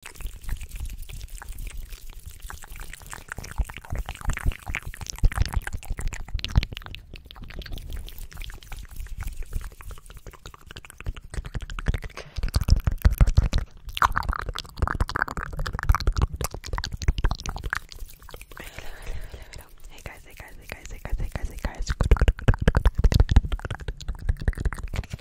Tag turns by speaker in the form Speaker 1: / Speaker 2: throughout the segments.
Speaker 1: Hey guys, hey guys, hey guys, hey guys, hey guys, hey guys.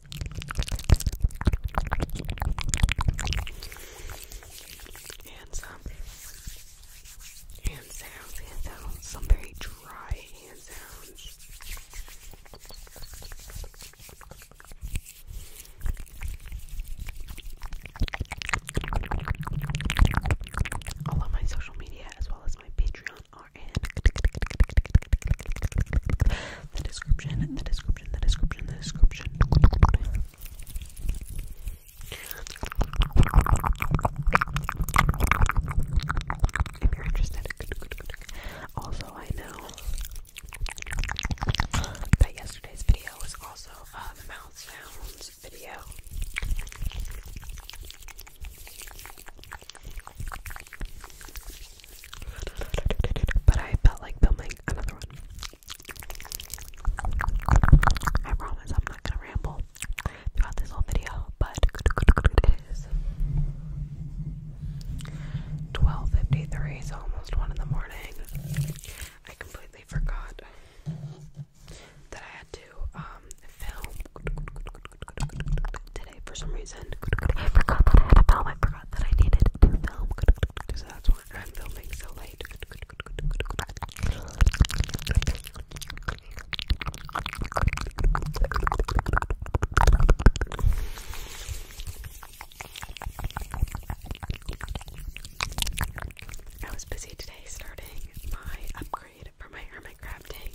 Speaker 1: And some hand sounds, hand sounds, some very dry hand sounds. All on my social media as well as my Patreon are in the description, the description, the description, the description. If you're interested, also I know that yesterday's video was also uh, the mouth sounds video.
Speaker 2: But I felt like filming another one. I promise I'm not gonna ramble throughout this whole video, but it is 12.53, so almost
Speaker 3: 1 in the morning. I completely forgot that I had to um, today for some reason. forgot that I had a film. I forgot that I needed to film. So that's why I'm filming so late. I was busy today starting my upgrade it for my hermit crab tank.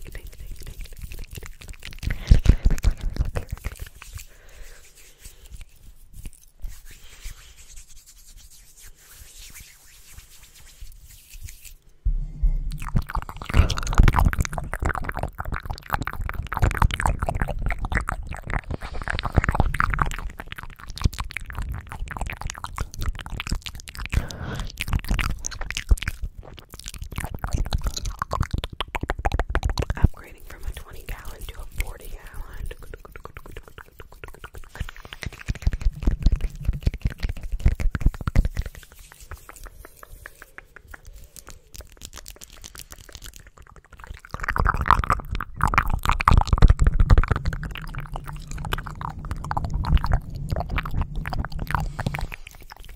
Speaker 3: Upgrading from a 20 gallon to a 40 gallon.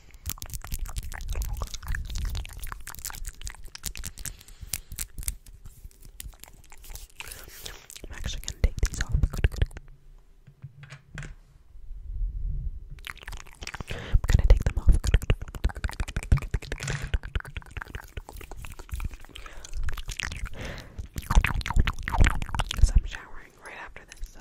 Speaker 3: I'm actually gonna take these off. I'm gonna take them off. Because I'm showering right after this, so.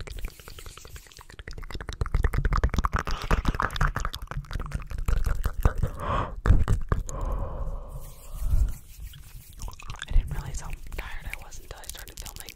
Speaker 4: I didn't realize how tired I was until I started filming.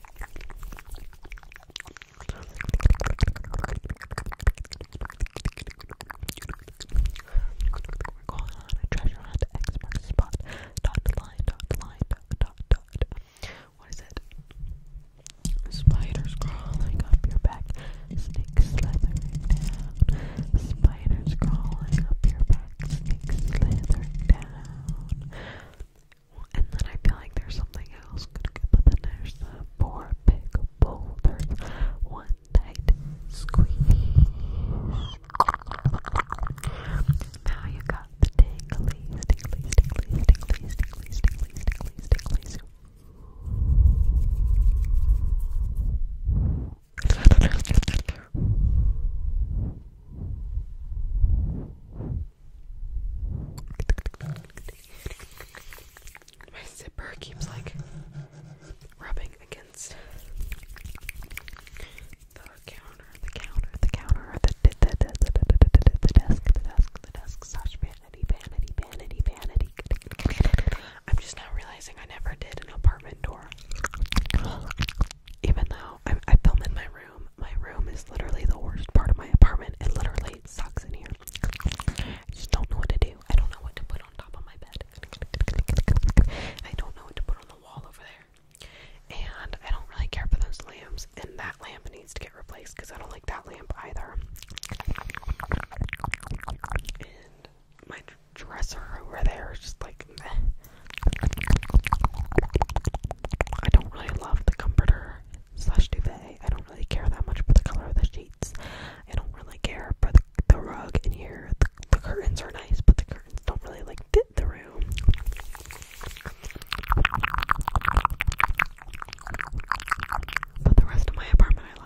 Speaker 4: We're going on a treasure hunt. X spot. Dot line. Dot line. Dot dot. dot. What is it? Spiders crawling up your back. Snakes slithering down. Spiders crawling up your back. Snakes slithering down. And then I feel like there's something else, but then there's the four big boulders. One tight squeeze. Now you got the tinglies, tinglies, tinglies, tinglies, tinglies, tinglies, tinglies, tinglies. My zipper keeps like rubbing against the counter, the counter, the counter, the desk, the desk, the desk, vanity, vanity, vanity, vanity. I'm just now realizing I never did an apartment door.
Speaker 5: Even though I, I in my room my room is literally the worst part of my apartment. It literally sucks in here. I just don't know what to do. I don't know what to put on top of my bed. I don't know what to put on the wall over there. And I don't really care for those lamps. And that lamp needs to get replaced because I don't like that lamp either. And my dresser over there is just like I don't really love the comforter slash duvet. I don't really care that much for the color of the sheets. I don't really care for the, rug in here. The, the curtains are nice, but the curtains don't really like fit the room. But the rest of my apartment I like.